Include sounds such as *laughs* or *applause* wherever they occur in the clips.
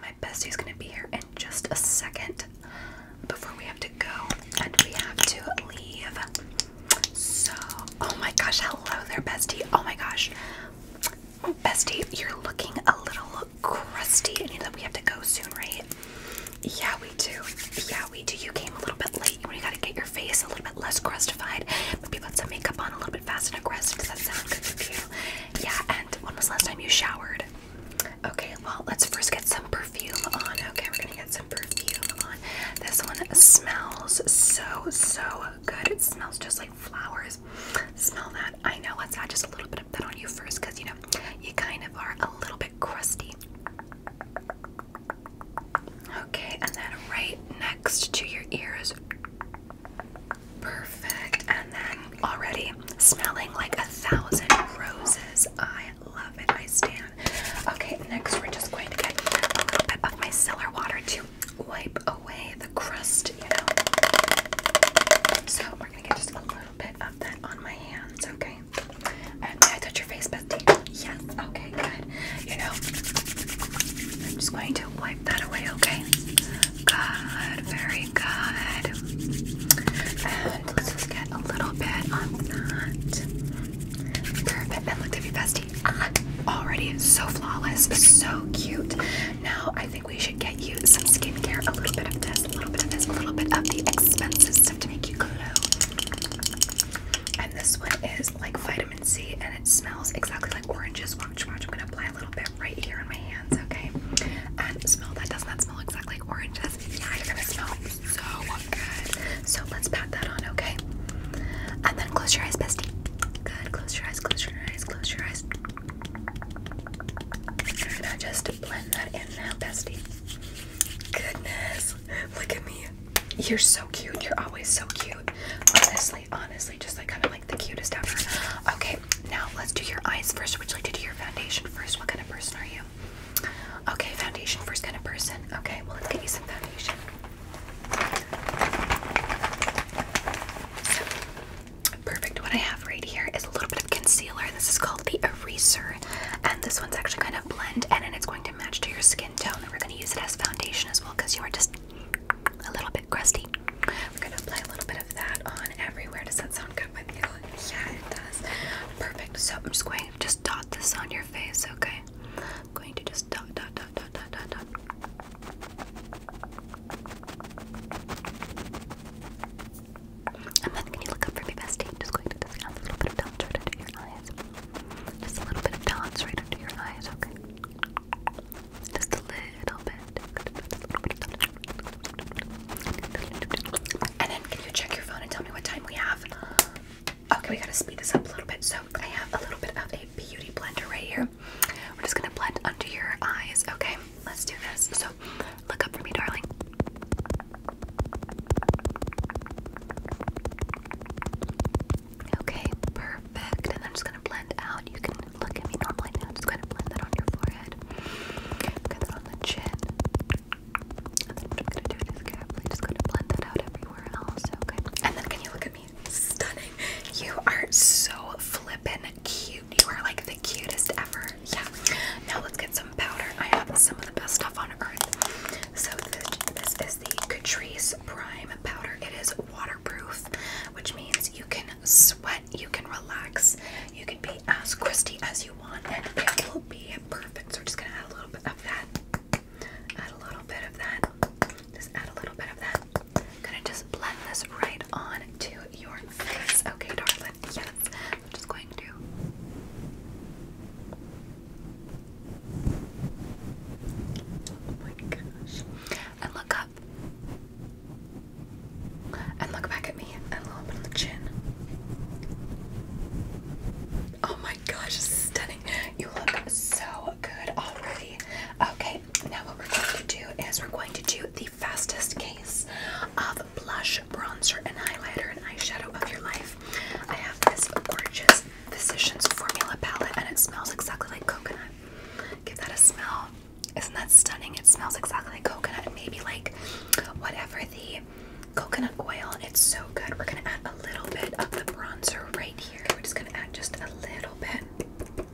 My bestie's gonna be here in just a second. Before we have to go, and we have to leave. So, oh my gosh, hello there, bestie. Oh my gosh, oh, bestie, you're looking a little crusty, and you know we have to go soon, right? Yeah, we do. Yeah, we do. You came a little bit late. You gotta get your face a little bit less crustified. Maybe put some makeup on a little bit fast and aggressive. Does that sound good to you? Yeah, and when was the last time you showered? Okay, well, let's first get some perfume on. Okay, we're gonna get some perfume on. This one smells so, so good. It smells just like flowers. Smell that. I know, let's add just a little bit of that on you first because you know, you kind of are a little bit crusty. Okay, and then right next to your ears. Perfect. And then already smelling like a thousand roses. I love it. I stand. Okay, next we're just going to get a little bit of my cellar water to wipe away the crust, you know. So we're gonna get just a little bit of that on my hands, okay? And I touch your face, Betty. Yes. Okay, good. You know, I'm just going to wipe that away, okay? Good, very good. And let's just get a little bit on that. Perfect. And look at you, bestie. Ah, already so flawless, so cute. Now I think we should get you some skincare. A little bit of this, a little bit of this, a little bit of the expensive stuff to make you glow. And this one is like vitamin C, and it smells exactly like oranges sponge swatch. I'm gonna apply a little bit right here on my hands, okay? And smell that. Doesn't that smell exactly like oranges? Yeah, you're gonna smell so good. So let's pat that on, okay? And then close your eyes, bestie. Good. Close your eyes. Close your eyes. Close your eyes. And just blend that in now, bestie. Goodness, look at me. You're so cute. You're always so cute. Honestly, honestly, just like kind of like the cutest ever. Okay, now let's do your eyes first. Would you like to do your foundation first? What kind of person are you? Okay, foundation first kind of person. Okay, well let's get you some foundation. perfect. What I have right here is a little bit of concealer. This is called the eraser, and this one's actually kind of blend, and then it's going to match to your skin tone. And we're going to use it as foundation as well because you are just a little bit crusty see. we gonna apply a little bit of that on everywhere. Does that sound good with you? Yeah, it does. Perfect. So I'm just going to just dot this on your face, okay? I'm going to just dot, dot, dot, dot, dot, dot, dot. And then can you look up for me, bestie? just going to just add a little bit of dots right under your eyes. Just a little bit of dots right under your eyes, okay? Just a little bit. And then can you check your phone and tell me what time we have? Okay, we gotta speed this up a little bit. So I have a little bit of a beauty blender right here. We're just gonna blend under your eyes, okay? Let's do this. So look up for me, darling. Okay, perfect. And I'm just gonna blend out. You can look at me normally now. Just kind of blend that on your forehead. Get that on the chin. I'm gonna do is carefully just gonna blend that out everywhere else, And then can you look at me? Stunning. You are so flippin' cute. You are like the cutest ever. Yeah. Now let's get some powder. I have some of the best stuff on earth. So this, this is the Catrice Prime powder. It is waterproof, which means you can sweat, you can relax, you can be as crusty as you want, and it will be perfect. So we're just gonna add a little bit of that. Add a little bit of that. Just add a little bit of that. gonna just blend this right on to your face. Okay, darling. Yes. I'm just going to. Oh my gosh and look up. And look back at me and low up on the chin. Oh my gosh, stunning. You look so good already. Okay, now what we're going to do is we're going to do the fastest case of blush, bronzer, and highlighter and eyeshadow of your life. I have this gorgeous Physicians Formula palette and it smells exactly like coconut. Give that a smell. Isn't that stunning? It smells exactly like coconut, maybe like whatever the coconut oil. It's so good. We're gonna add a little bit of the bronzer right here. We're just gonna add just a little bit,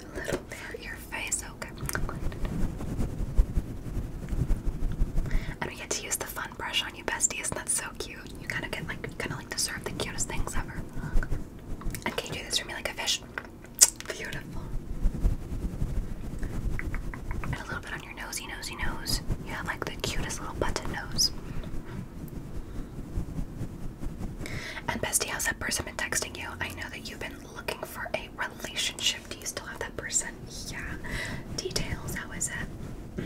a little bit your face. Okay. Oh, and we get to use the fun brush on you, bestie. Isn't that so cute? You kind of get like, kind of like deserve the cutest things ever. Okay, do this for me like a fish? Beautiful. And a little bit on your nosy, nosy nose. You have like the cutest little button nose. And bestie, how's that person been texting you? I know that you've been looking for a relationship. Do you still have that person? Yeah. Details, how is it?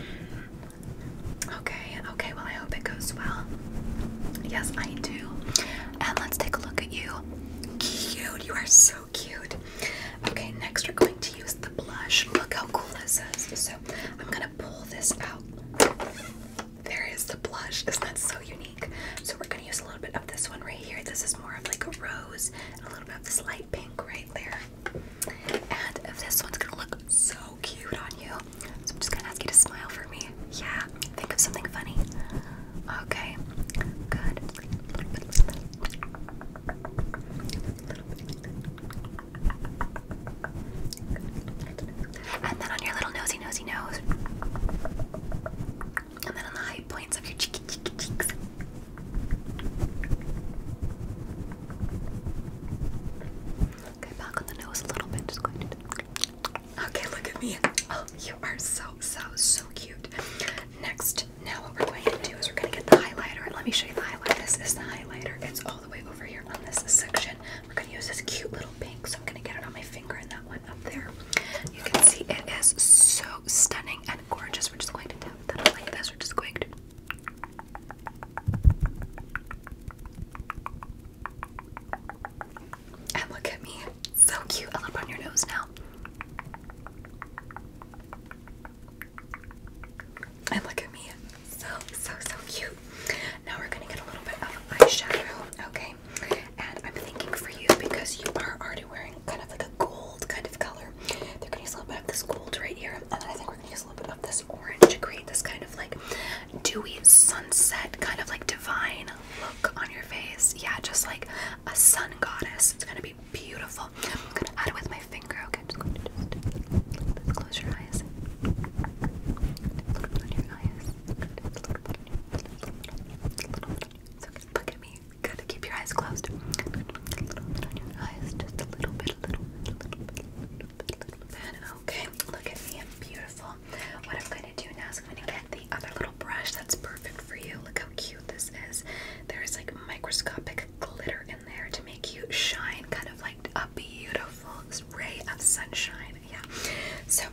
Okay, okay, well I hope it goes well. Yes, I do. And let's take a look at you. Cute. You are so cute. Okay, next we're going to use the blush. Look how cool this is. So I'm gonna pull this out. There is the blush. Isn't that so unique? So we're gonna use a little bit of this one right here. This is more of like a rose and a little bit of this light pink right there. And this one's gonna look so cute on you. So I'm just gonna ask you to smile for me. Yeah, think of something funny. Okay, good. And then on your little nosy, nosy nose. And then on the high points of your cheeky, cheeky cheeks. Okay, back on the nose a little bit. Just going to. Okay, look at me. Oh, you are so, so, so cute. Next, now what we're going to do is we're going to get the highlighter. Let me show you the highlighter. This is the highlighter. It's all the way over here on this section. We're going to use this cute little pink, so I'm going to get it on my finger and that one up there. You can see it is so stunning and gorgeous. We're just going to do that up like this. We're just going to... And look at me. So cute. I'll put on your nose now. And look at me. So, so, so cute. Now we're going to get a little bit of eyeshadow, okay? And I'm thinking for you, because you are already wearing kind of like a gold kind of color, they're going to use a little bit of this gold right here. And then I think we're going to use a little bit of this orange to create this kind of like dewy sunset, kind of like divine look on your face. Yeah, just like a sun goddess. It's gonna be beautiful. I'm gonna add it with my finger. Okay, just going to close your eyes. Look on your eyes. It's okay. Look at me. Good. Keep your eyes closed. A little bit on your eyes. Just a little bit, a little bit, a little bit, Okay, look at me. I'm beautiful. What I'm gonna do now is gonna the other little brush that's perfect for you. Look how cute this is. There's like microscopic glitter in there to make you shine, kind of like a beautiful ray of sunshine. Yeah. So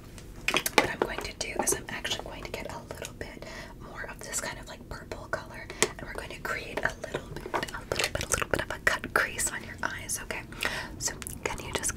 what I'm going to do is I'm actually going to get a little bit more of this kind of like purple color, and we're going to create a little bit, a a little bit of a cut crease on your eyes. Okay. So can you just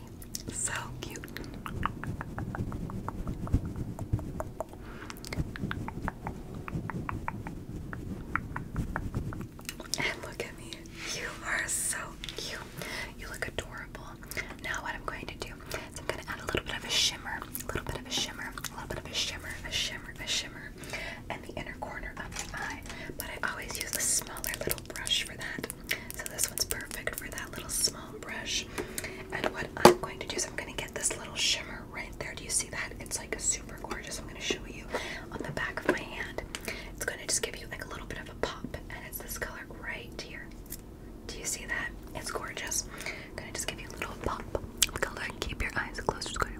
so cute. And look at me. You are so cute. You look adorable. Now what I'm going to do is I'm going to add a little bit of a shimmer, a little bit of a shimmer, a little bit of a shimmer, a shimmer, a shimmer, and the inner corner of my eye. But I always use a smaller little brush for that. So this one's perfect for that little small brush. And what I'm going to do is I'm going to get this little shimmer right there. Do you see that? It's like a super gorgeous. I'm going to show you on the back of my hand. It's going to just give you like a little bit of a pop. And it's this color right here. Do you see that? It's gorgeous. I'm going to just give you a little pop color keep your eyes closed. Just going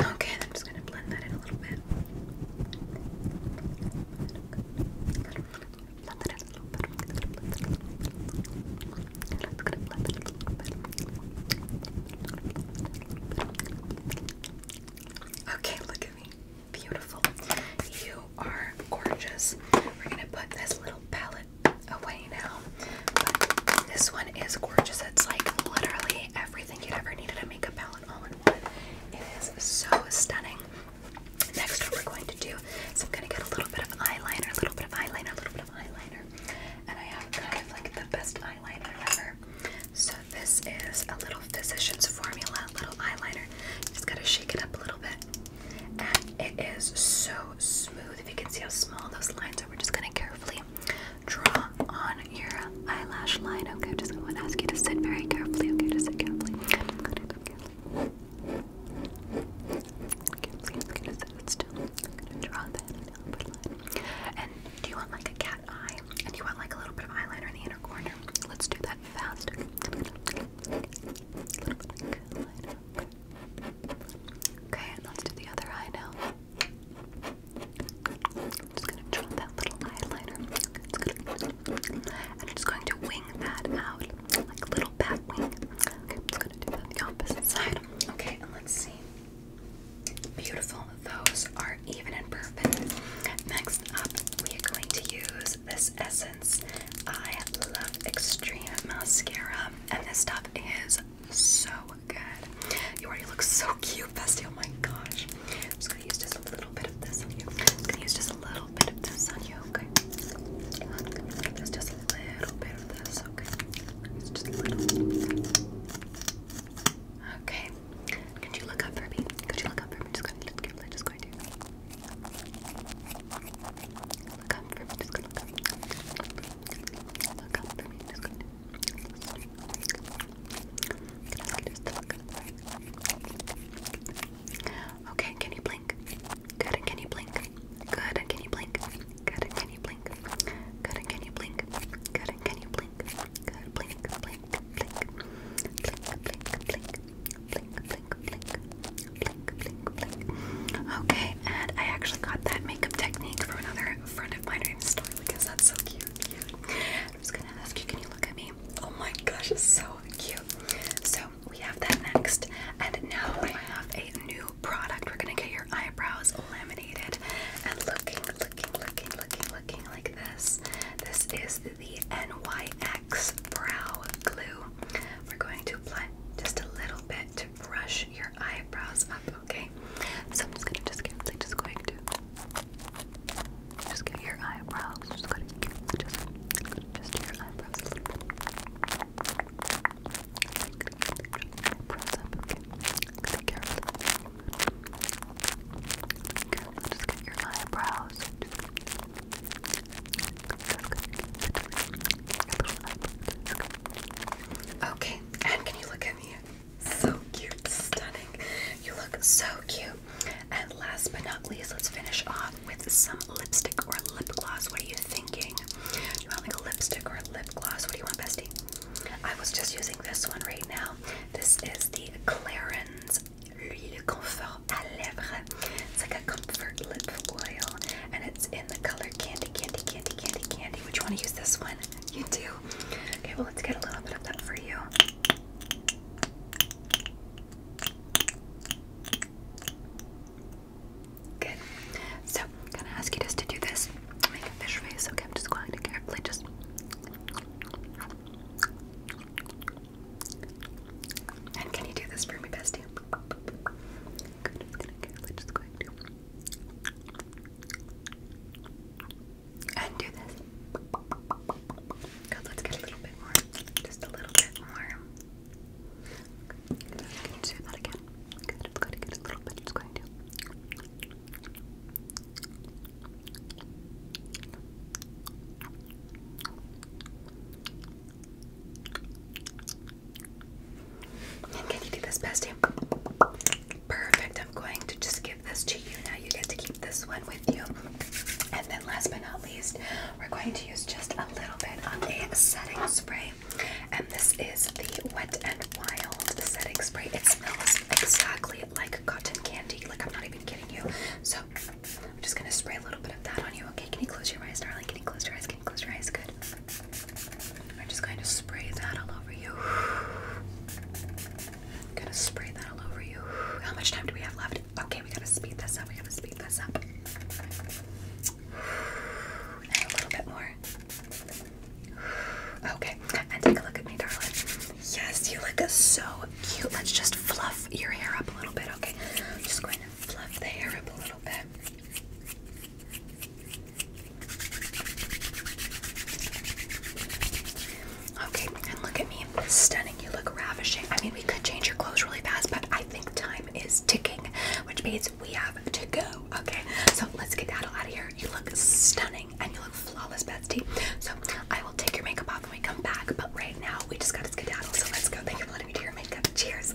Okay, I'm just gonna blend that in a little bit. Blend that in a little bit. Okay, look at me. Beautiful. You are gorgeous. We're gonna put this little palette away now. this one is gorgeous. It's like literally everything you'd ever need a makeup palette all in one. It is so stunning. Next, what we're going to do is I'm going to get a little bit of eyeliner, a little bit of eyeliner, a little bit of eyeliner. And I have kind of like the best eyeliner ever. So this is a little Physicians Formula little eyeliner. Just gotta shake it up a little bit. And it is so smooth. If you can see how small those lines are, we're just gonna carefully draw on your eyelash line. Okay, just gonna ask you to sit very carefully. Okay, just sit carefully. Carefully, okay, just sit still. I'm gonna draw that upper line. And do you want like a cat eye? And do you want like a little bit of eyeliner in the inner corner? Let's do that fast. Okay. A little bit like eyeliner. Okay. Okay, and let's do the other eye now. I'm just gonna draw that little eyeliner. and I'm just going to wing that out, like a little bat wing. Okay, I'm to the opposite side. Okay, and let's see. Beautiful. Those are even and perfect. Next up, we are going to use this Essence I Love Extreme Mascara. And this stuff is is so good. You already look so cute, bestie. Oh my gosh. I'm just gonna use just a little bit of this on you. I'm gonna use just a little bit of this on you, okay? Just, just a little bit of this, okay? Just, just a little. Okay. Could you look up for me? Could you look up for me? Just going to, just going to. Look up for me, just gonna look up. Look up for me, just gonna. Okay, can you blink? Good, and can you blink? Good, and can you blink? Good, and can you blink? Good, and can you blink? Good, and can you blink? Good, blink, blink, blink, blink, blink, blink, blink, blink, blink, Okay, and I actually got that makeup technique from another friend of mine in store because that's so cute, I'm gonna ask you, can you look at me? Oh my gosh, it's so cute. So we have that next, and now we have a new product. We're gonna get your eyebrows laminated and looking, looking, looking, looking, looking like this. This is the NYX Brow Glue. We're going to apply just a little bit brush your eyebrows up, okay? So I'm just gonna just carefully just going to just get your eyebrows. Just gonna just just your eyebrows. Eyebrows up, okay? Just carefully. Carefully just get your eyebrows. Okay, and can you look at me? So cute, stunning. You look so cute. And last but not least, let's finish off with some lipstick or lip gloss. What are you thinking? You want like a lipstick or lip gloss? What do you want, bestie? I was just using this one right now. This is the Clarins L'Huile Confort à Lèvres. It's like a comfort lip oil, and it's in the color color candy, candy, candy, candy, candy. Would you want to use this one? *laughs* You do. Okay, well, let's get a little bit of that for you. Good. So, I'm gonna ask you just to do this. Make a fish face. Okay, I'm just going to carefully just. And can you do this for me, bestie? Good. I'm just gonna carefully just going to. And do this. Good, let's get a little bit more. Just a little bit more. Can you do that again? Good, it's going to get a little bit. It's going to can you do this, bestie? Perfect. I'm going to just give this to you now. You get to keep this one with you. And then, last but not least, we're going to use just a little bit of a setting spray. And this is the Wet and Wild setting spray. It smells exactly like cotton candy. Like, I'm not even kidding you. So, I'm just going to spray a little bit of that on you. Okay, can you close your eyes, darling? Can you close your eyes? Can you close your eyes? Good. I'm just going to spray that all over you. I'm gonna spray that all over you. How much time do we have left? Okay, we gotta speed this up. We gotta speed this up. a little bit more. Okay, and take a look at me, darling. Yes, you look so cute. Let's just fluff your hair up a little bit, okay? I'm just going to fluff the hair up a little bit. Okay, and look at me. Stunning. You look ravishing. I mean, we could change your clothes really fast, but I think time is ticking, which means we have to go. Okay, so let's get that out of here. You look stunning and you look flawless, Betsy. So I will take your makeup off when we come back, but right now we just got to skedaddle. So let's go. Thank you for letting me do your makeup. Cheers.